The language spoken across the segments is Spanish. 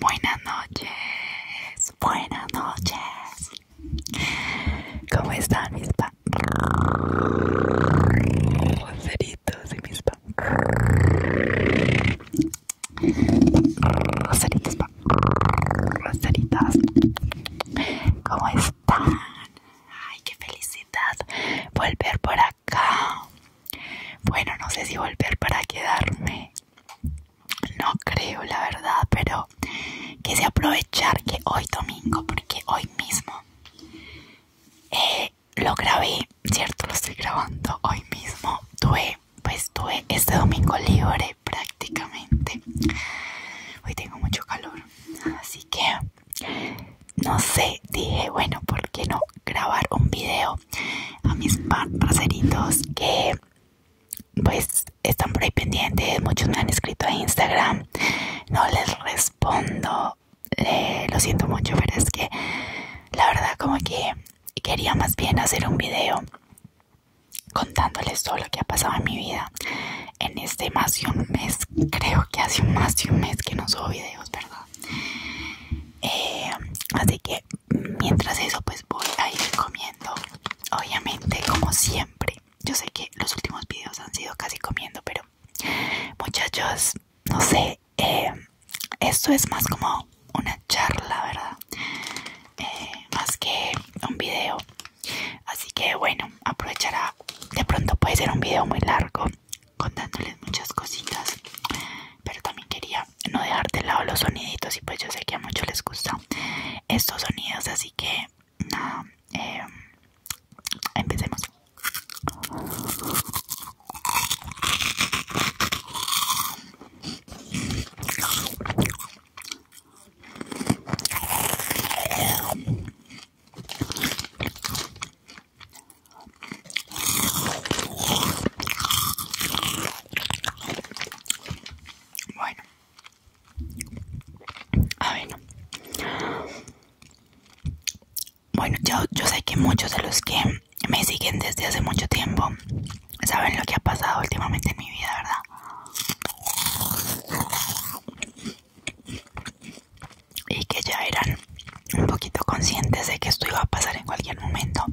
Buenas noches, buenas noches. ¿Cómo están mis pa? Roseritos y mis pa. Roseritos pa. ¿Cómo están? Ay, qué felicidad volver por acá. Bueno, no sé si volver para quedarme. No creo, la verdad, pero quise aprovechar que hoy domingo, porque hoy mismo eh, lo grabé, ¿cierto? Lo estoy grabando hoy mismo. Tuve, pues tuve este domingo libre prácticamente. Hoy tengo mucho calor, así que no sé, dije, bueno, ¿por qué no grabar un video a mis parceritos que pues están por ahí pendientes? Muchos me han escrito a Instagram, no les respondo, eh, lo siento mucho, pero es que la verdad como que quería más bien hacer un video contándoles todo lo que ha pasado en mi vida en este más de un mes, creo que hace más de un mes que no subo videos, ¿verdad? Eh, así que mientras eso, pues voy a ir comiendo. Obviamente, como siempre, yo sé que los últimos videos han sido casi comiendo, pero muchachos, no sé, eh, esto es más como una charla, ¿verdad? Eh, más que un video Así que bueno, aprovechará. De pronto puede ser un video muy largo contándoles muchas cositas. Pero también quería no dejar de lado los soniditos y pues yo sé que a muchos les gustan estos sonidos. Así que nada, eh, empecemos. Bueno, a ver. Bueno, yo, yo sé que muchos de los que me siguen desde hace mucho tiempo saben lo que ha pasado últimamente en mi vida, ¿verdad? y que ya eran un poquito conscientes de que esto iba a pasar en cualquier momento,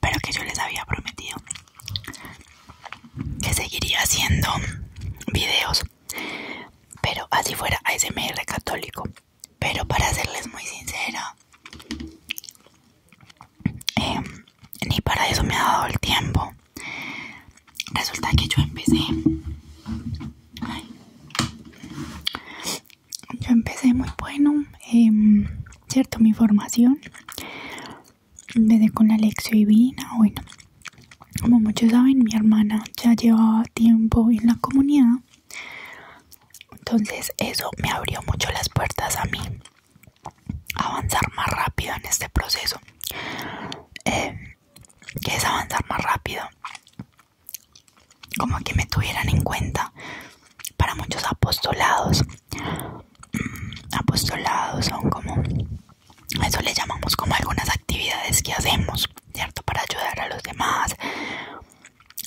pero que yo les había prometido que seguiría haciendo videos, pero así fuera ASMR católico. Pero para serles muy sincera, eh, ni para eso me ha dado el tiempo. Resulta que yo empecé. yo empecé muy bueno, em, ¿cierto? Mi formación. Empecé con Alexio y divina. Bueno, como muchos saben, mi hermana ya llevaba tiempo en la comunidad. Entonces eso me abrió mucho las puertas a mí avanzar más rápido en este proceso eh, que es avanzar más rápido como que me tuvieran en cuenta para muchos apostolados mm, apostolados son como eso le llamamos como algunas actividades que hacemos cierto para ayudar a los demás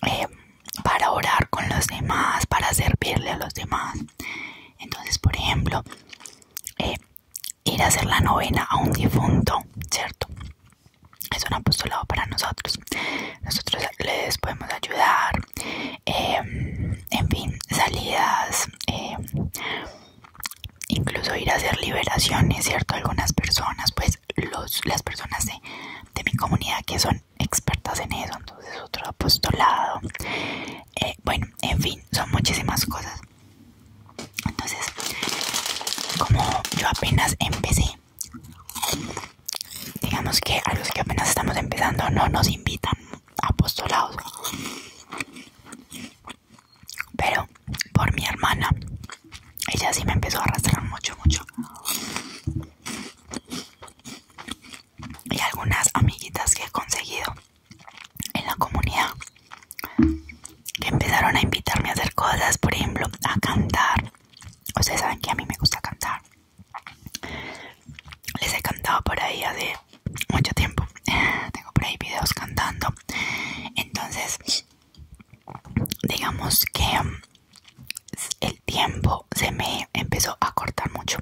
eh, para orar con los demás para servirle a los demás entonces por ejemplo eh, ir a hacer la novena a un difunto, ¿cierto? Es un apostolado para nosotros. Nosotros les podemos ayudar. Em, en fin, salidas. Em, incluso ir a hacer liberaciones, ¿cierto? Algunas personas, pues los, las personas de, mi comunidad que son expertas en eso. Entonces otro apostolado. Eh, bueno, en fin son muchísimas cosas. Entonces, como yo apenas empecé, digamos que a los que apenas estamos empezando no nos invitan a apostolados Pero por mi hermana, ella sí me empezó a arrastrar mucho, mucho. Y algunas amiguitas que he conseguido en la comunidad que empezaron a invitarme a hacer cosas, por ejemplo, a cantar. Ustedes saben que a mí me gusta cantar. Les he cantado por ahí hace mucho tiempo. Tengo por ahí videos cantando. Entonces, digamos que mm, el tiempo se me empezó a cortar mucho.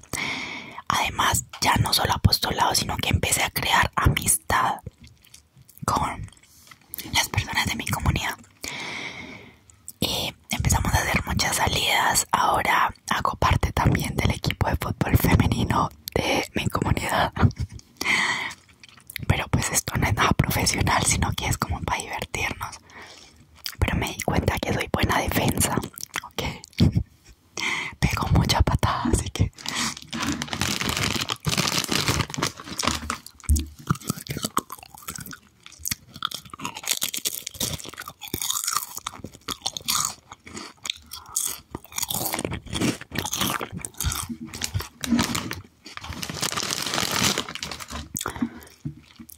Además, ya no solo apostolado, sino que empecé a crear amistad con las personas de mi comunidad. Y empezamos a hacer muchas salidas. Ahora hago parte también del equipo de fútbol femenino de mi comunidad. Pero pues esto no es nada profesional, sino que es como para divertirnos. Pero me di cuenta que soy buena defensa. Ok. Pego mucha patada, así que.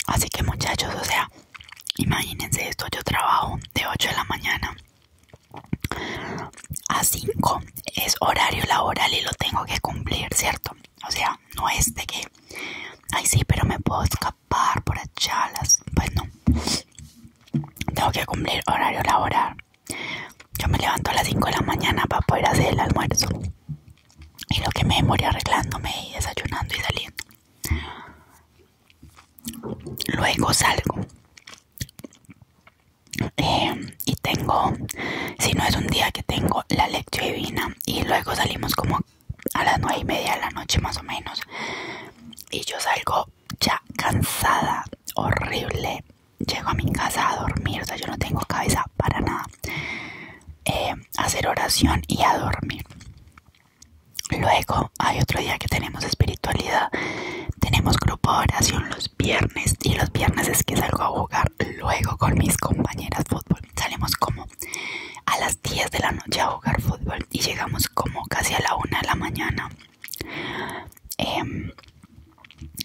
Así que muchachos, o sea, Imagínense esto, yo trabajo de 8 de la mañana a 5, es horario laboral y lo tengo que cumplir, ¿cierto? O sea, no es de que, ay sí, pero me puedo escapar por echarlas. pues no. Tengo que cumplir horario laboral. Yo me levanto a las 5 de la mañana para poder hacer el almuerzo. Y lo que me demoré arreglándome y desayunando y saliendo. Luego salgo. Em, y tengo, si no es un día que tengo la lectura divina y luego salimos como a las nueve y media de la noche más o menos y yo salgo ya cansada, horrible, llego a mi casa a dormir, o sea yo no tengo cabeza para nada, em, hacer oración y a dormir. Luego hay otro día que tenemos espiritualidad. Tenemos grupo de oración los viernes y los viernes es que salgo a jugar luego con mis compañeras fútbol. Salimos como a las 10 de la noche a jugar fútbol y llegamos como casi a la 1 de la mañana. Em,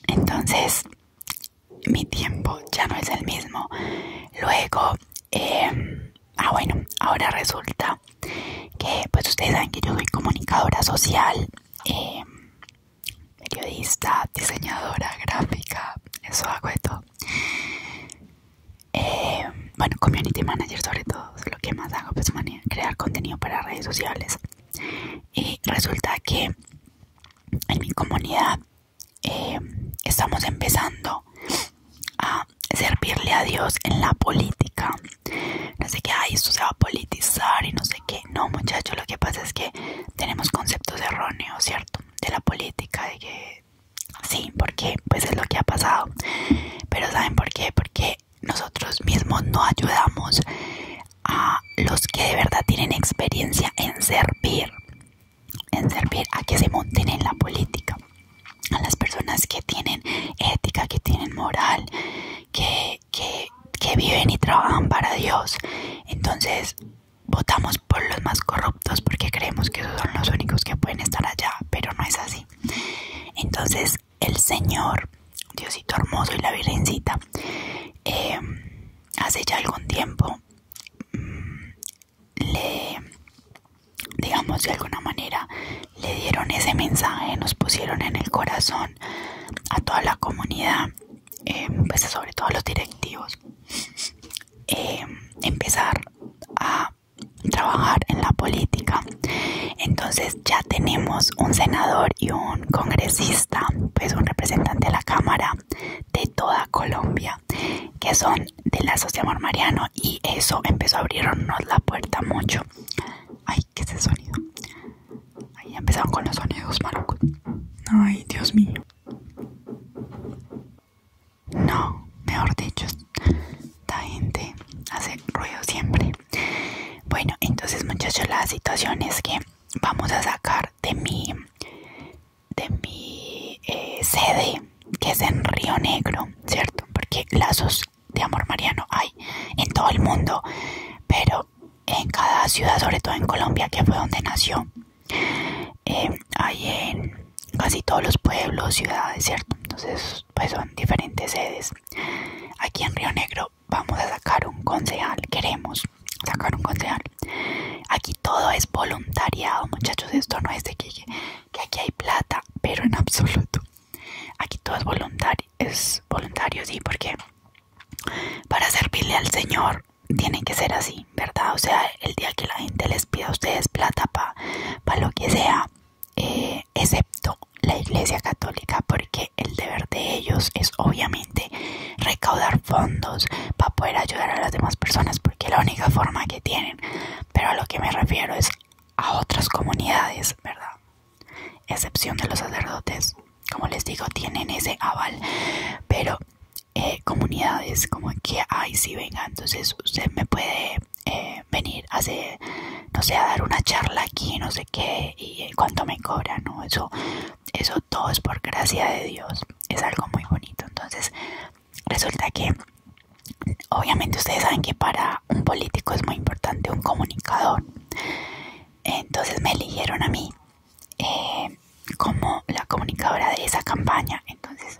entonces mi tiempo ya no es el mismo. Luego eh, ah bueno ahora resulta que pues ustedes saben que yo soy comunicadora social eh, periodista diseñadora gráfica eso hago de todo eh, bueno community manager sobre todo lo que más hago pues crear contenido para redes sociales y resulta que en mi comunidad estamos empezando a servirle a Dios en la política. No sé qué, ay, esto se va a politizar y no sé qué. No, muchachos, lo que pasa es que tenemos conceptos erróneos, ¿cierto? De la política, de que sí, porque pues es lo que ha pasado. Pero ¿saben por qué? Porque nosotros mismos no ayudamos a los que de verdad tienen experiencia en servir, en servir a que se monten en la política a las personas que tienen ética, que tienen moral, que, que, viven y trabajan para Dios. Entonces votamos por los más corruptos porque creemos que esos son los únicos que pueden estar allá, pero no es así. Entonces el Señor, Diosito hermoso y la Virgencita, eh, hace ya algún tiempo mm, le, digamos de alguna manera, le dieron ese mensaje, nos pusieron en el corazón a toda la comunidad, em, pues sobre todo los directivos, em, empezar a trabajar en la política. Entonces ya tenemos un senador y un congresista, pues un representante de la Cámara de toda Colombia que son de la de mariano, y eso empezó a abrirnos la puerta mucho. Ay, qué ese sonido. Ahí empezaron con los sonidos, malucos Ay, Dios mío. No, mejor dicho, esta gente hace ruido siempre. Bueno, entonces muchachos, la situación es que vamos a sacar de mi de mi eh, sede que es en Río Negro, ¿cierto? Porque lazos de amor mariano hay en todo el mundo, pero en cada ciudad, sobre todo en Colombia, que fue donde nació, eh, hay en casi todos los pueblos, ciudades, ¿cierto? Entonces, pues son diferentes sedes. Aquí en Río Negro vamos a sacar un concejal, queremos sacar un concejal. Aquí todo es voluntariado, muchachos, esto no es de que que aquí hay plata, pero en absoluto. Aquí todo es voluntario, es voluntario, sí, porque para servirle al Señor tiene que ser así, ¿verdad? O sea, el día que la gente les pida a ustedes plata para pa lo que sea, eh, excepto la Iglesia Católica, porque el deber de ellos es obviamente recaudar fondos para poder ayudar a las demás personas, porque la única forma que tienen pero a lo que me refiero es a otras comunidades, ¿verdad? Excepción de los sacerdotes, como les digo, tienen ese aval, pero eh, comunidades como que, ay, si sí, venga, entonces usted me puede eh, venir a hacer, no sé, dar una charla aquí, no sé qué, y eh, cuánto me cobra, ¿no? Eso, eso todo es por gracia de Dios, es algo muy bonito, entonces Resulta que, obviamente ustedes saben que para un político es muy importante un comunicador. Entonces me eligieron a mí eh, como la comunicadora de esa campaña. Entonces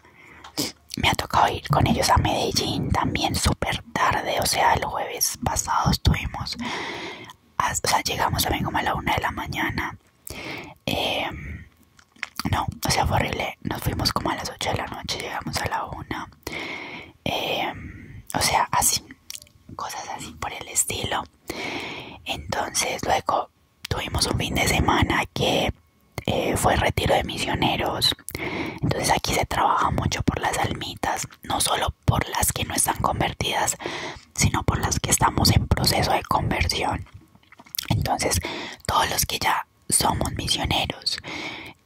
me ha tocado ir con ellos a Medellín también super tarde. O sea, el jueves pasado estuvimos, o sea, llegamos también como a la una de la mañana. Em, no, o sea, fue horrible. Nos fuimos como a las 8 de la noche, llegamos a la 1. Em, o sea, así, cosas así por el estilo. Entonces, luego tuvimos un fin de semana que eh, fue retiro de misioneros. Entonces, aquí se trabaja mucho por las almitas, no solo por las que no están convertidas, sino por las que estamos en proceso de conversión. Entonces, todos los que ya somos misioneros.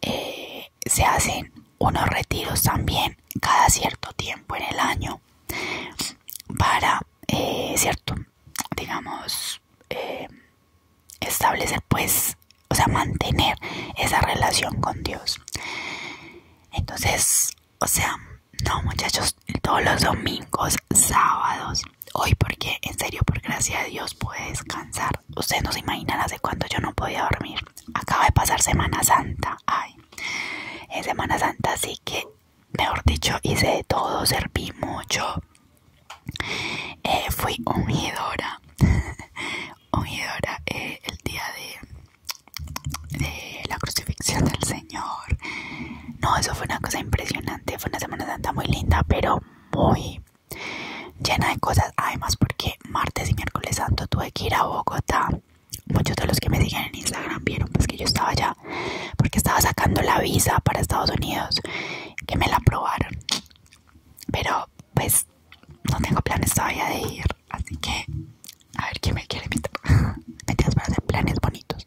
Eh, se hacen unos retiros también cada cierto tiempo en el año para, eh, cierto, digamos, eh, establecer pues, o sea, mantener esa relación con Dios. Entonces, o sea, no muchachos, todos los domingos, sábados, hoy porque en serio por gracia de Dios pude descansar. Ustedes no se imaginan hace cuánto yo no podía dormir. Acaba de pasar Semana Santa. Ay, en Semana Santa así que, mejor dicho, hice de todo, serví mucho. Eh, fui ungidora. ungidora eh, el día de, de la crucifixión del Señor. No, eso fue una cosa impresionante fue una Semana Santa muy linda, pero muy llena de cosas. Además, porque martes y miércoles santo tuve que ir a Bogotá. Muchos de los que me siguen en Instagram vieron pues que yo estaba allá porque estaba sacando la visa para Estados Unidos, que me la aprobaron. Pero pues no tengo planes todavía de ir, así que a ver quién me quiere invitar. Me para hacer planes bonitos.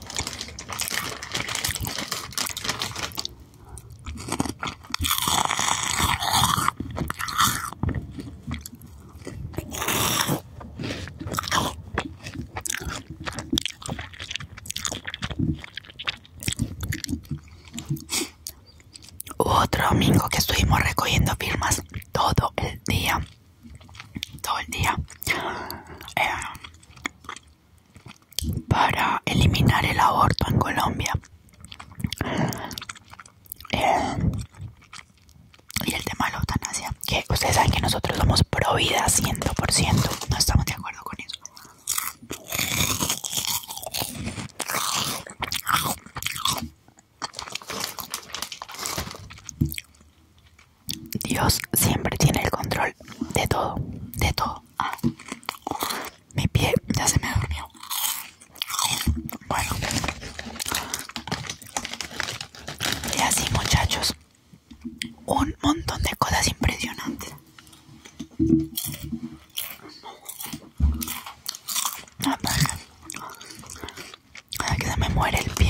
otro domingo que estuvimos recogiendo firmas todo el día todo el día eh, para eliminar el aborto en Colombia eh, y el tema de la eutanasia que ustedes saben que nosotros somos pro vida 100% no estamos de acuerdo con eso Dios siempre tiene el control de todo, de todo. Ah. mi pie ya se me durmió. Bueno. Y así muchachos, un montón de cosas impresionantes. Ah, Ay, que se me muere el pie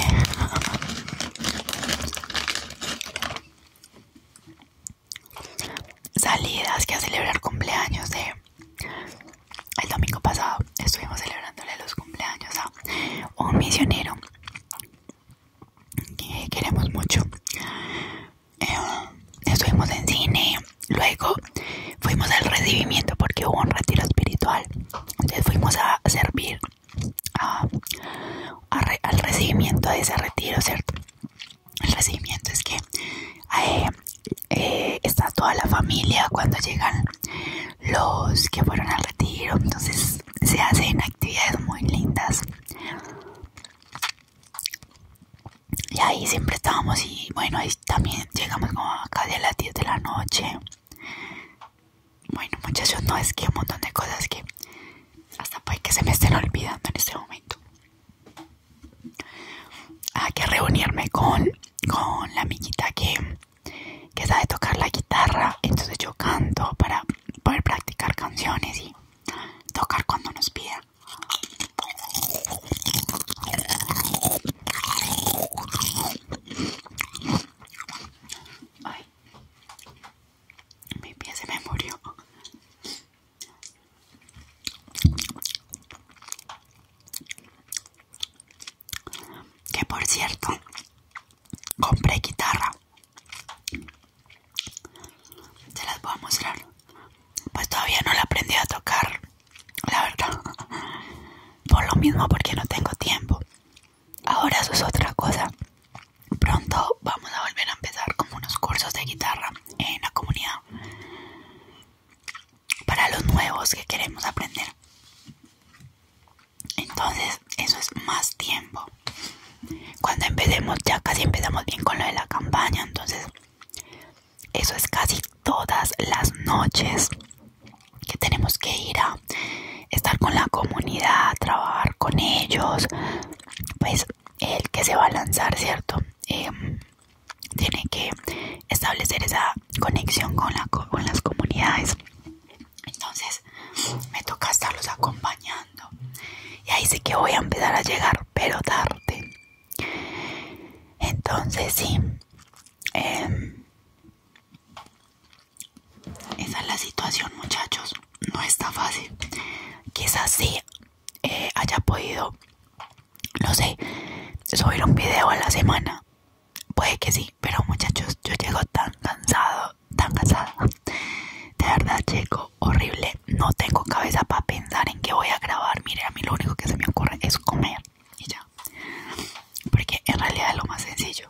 salidas que a celebrar cumpleaños de el domingo pasado estuvimos celebrándole los cumpleaños a un misionero que queremos mucho eh, estuvimos en cine luego fuimos al recibimiento porque hubo un retiro espiritual entonces fuimos a servir al recibimiento de ese retiro, ¿cierto? El recibimiento es que eh, eh, está toda la familia cuando llegan los que fueron al retiro, entonces se hacen actividades muy lindas. Y ahí siempre estábamos y bueno, ahí también llegamos como casi a las 10 de la noche. Bueno muchachos, no es que un montón de cosas que hasta puede que se me estén olvidando en este momento. Hay ah, que reunirme con, con la amiguita que, sabe tocar la guitarra, entonces yo canto para poder practicar canciones y tocar cuando nos pida. Mi pie se me murió. Que por cierto, compré guitarra. Se las voy a mostrar. Pues todavía no la aprendí a tocar, la verdad. Por lo mismo, porque no tengo tiempo. Ahora eso es otra cosa. Pronto vamos a volver a empezar con unos cursos de guitarra en la comunidad para los nuevos que queremos aprender. Entonces, eso es más tiempo. Cuando empecemos, ya casi empezamos bien con lo de la campaña, entonces eso es casi todas las noches que tenemos que ir a estar con la comunidad, trabajar con ellos, pues el que se va a lanzar, ¿cierto? Em, tiene que establecer esa conexión con, la, con las comunidades. Entonces me toca estarlos acompañando. Y ahí sí que voy a empezar a llegar, pero tarde. Entonces sí. Em, esa es la situación, muchachos. No está fácil. Quizás sí eh, haya podido, no sé, subir un video a la semana. Puede que sí, pero muchachos, yo llego tan cansado, tan cansada De verdad, llego horrible. No tengo cabeza para pensar en qué voy a grabar. Mire, a mí lo único que se me ocurre es comer y ya. Porque en realidad es lo más sencillo.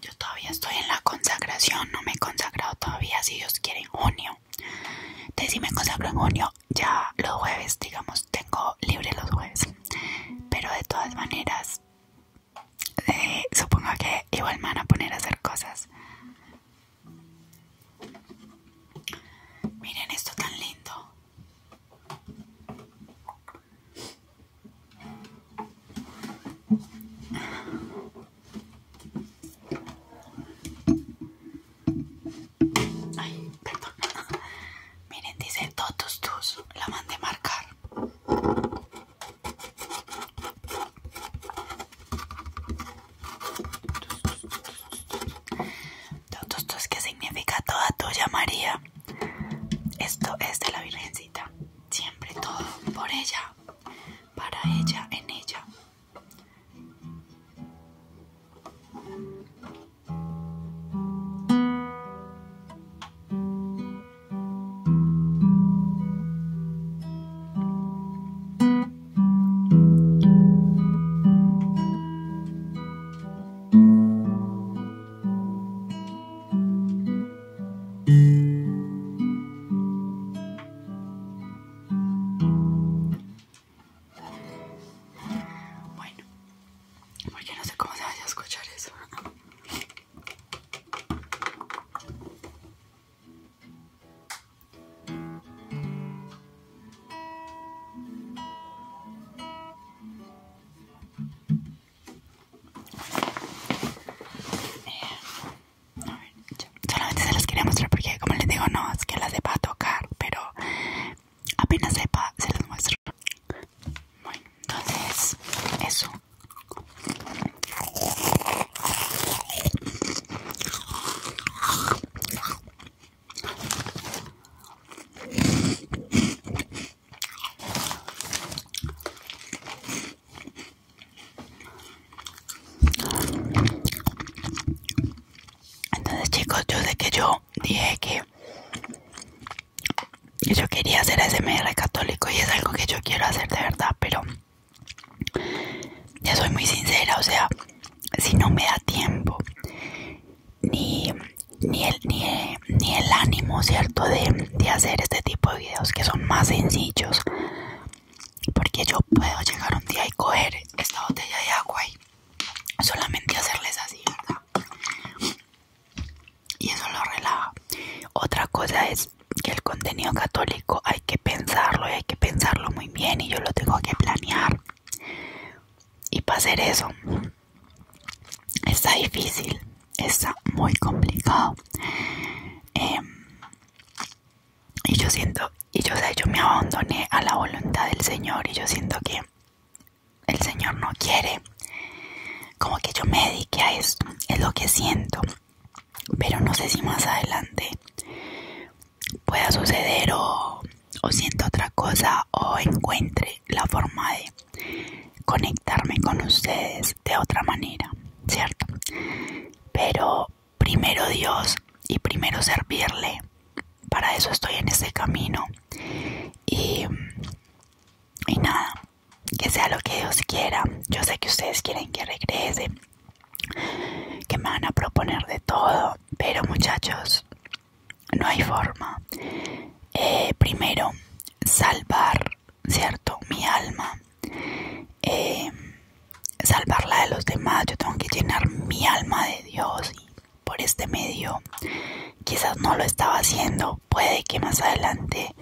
Yo todavía estoy en la consagración, no me he consagrado todavía, si Dios quiere en junio. Entonces si me consagro en junio, ya los jueves, digamos, tengo libre los jueves. Pero de todas maneras, eh, supongo que igual me van a poner a hacer cosas. Miren esto tan lindo. Ay, perdón. Miren, dice todos Tus. La mandé marcar. Totus Tus, que significa toda tuya, María. Esto es de la Virgencita. Siempre todo por ella, para ella, en ella. Bueno, porque no sé cómo se vaya a escuchar eso. Eh, solamente se las quería mostrar porque, como les digo, no es que las sepa tocar, pero apenas sepa, se las muestro. Bueno, entonces, eso. Entonces chicos, yo sé que yo dije que yo quería hacer SMR católico y es algo que yo quiero hacer de verdad, pero ya soy muy sincera, o sea, si no me da tiempo ni ni el, ni, el, ánimo, ¿cierto? De, de hacer este tipo de videos que son más sencillos. Porque yo puedo llegar un día y coger esta botella de agua y solamente hacerles así, Y eso lo relaja. Otra cosa es que el contenido católico hay que pensarlo y hay que pensarlo muy bien y yo lo tengo que planear. Y para hacer eso está difícil, está muy complicado. Em, y yo siento, y yo, sé, yo me abandoné a la voluntad del Señor y yo siento que el Señor no quiere. Como que yo me dedique a esto, es lo que siento. Pero no sé si más adelante pueda suceder o siento otra cosa o encuentre la forma de conectarme con ustedes de otra manera, ¿cierto? Pero primero Dios y primero servirle, para eso estoy en este camino. Y, y nada, que sea lo que Dios quiera. Yo sé que ustedes quieren que regrese, que me van a proponer de todo, pero muchachos, no hay forma. Eh, primero salvar, ¿cierto? Mi alma, eh, salvarla de los demás. Yo tengo que llenar mi alma de Dios y por este medio quizás no lo estaba haciendo. Puede que más adelante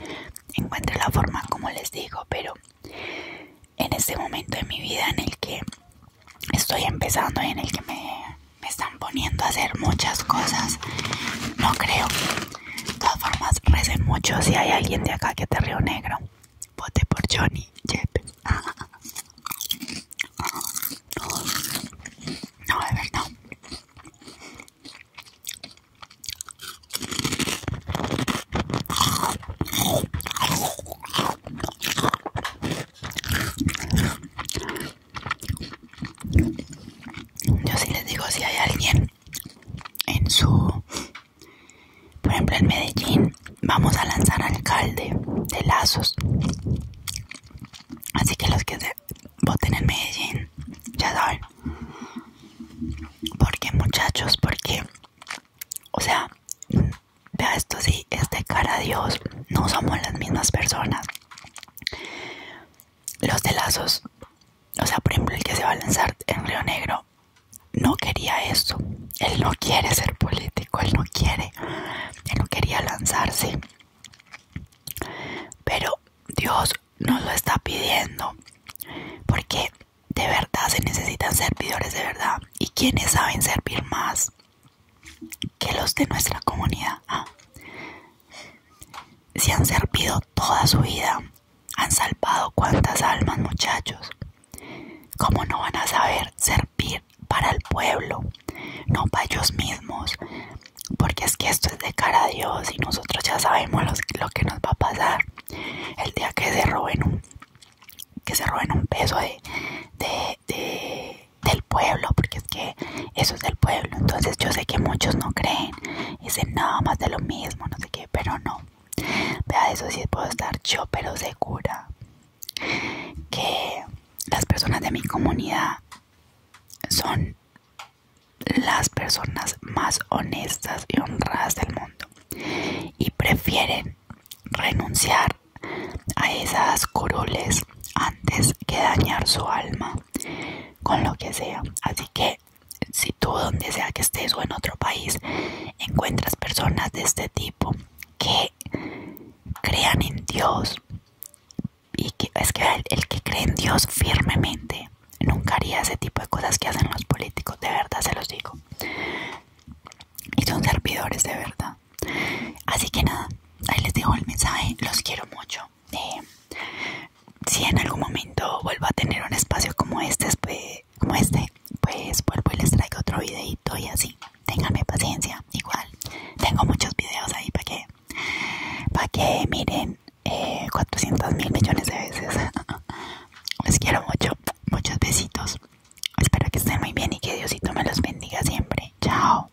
encuentre la forma, como les digo, pero en este momento de mi vida en el que estoy empezando y en el que me me están poniendo a hacer muchas cosas. No creo. De todas formas, recen mucho si hay alguien de acá que te río negro. Vote por Johnny Jepp. No, de verdad. Yo sí les digo si hay alguien en su, por ejemplo en Medellín, vamos a lanzar alcalde de lazos. Así que los que voten en Medellín, ya saben. Porque muchachos, porque, o sea, vea esto sí, es de cara a Dios, no somos las mismas personas los de lazos, o sea, por ejemplo, el que se va a lanzar en Río Negro, no quería eso. Él no quiere ser político, él no quiere, él no quería lanzarse. Pero Dios nos lo está pidiendo, porque de verdad se necesitan servidores de verdad. ¿Y ¿quiénes saben servir más que los de nuestra comunidad? Ah, si han servido toda su vida, han salvado cuántas almas, muchachos. Como no van a saber servir para el pueblo? No para ellos mismos. Porque es que esto es de cara a Dios y nosotros ya sabemos lo que nos va a pasar. El día que se roben un, que se roben un peso de del pueblo, porque es que eso es del pueblo. Entonces yo sé que muchos no creen, dicen nada más de lo mismo, no sé qué, pero no. Vea, eso sí puedo estar yo, pero segura que las personas de mi comunidad son las personas más honestas y honradas del mundo y prefieren renunciar a esas coroles antes que dañar su alma con lo que sea. Así que si tú donde sea que estés o en otro país encuentras personas de este tipo que crean en Dios y que es que el, que cree en Dios firmemente nunca haría ese tipo de cosas que hacen los políticos, de verdad se los digo. Y son servidores de verdad. Así que nada, ahí les dejo el mensaje, los quiero mucho si en algún momento vuelvo a tener un espacio como este, pues, como este, pues vuelvo y les traigo otro videito y así. tenganme paciencia, igual. Tengo muchos videos ahí para que, para que miren 400 eh, mil millones de veces. Les quiero mucho, muchos besitos. Espero que estén muy bien y que Diosito me los bendiga siempre. Chao.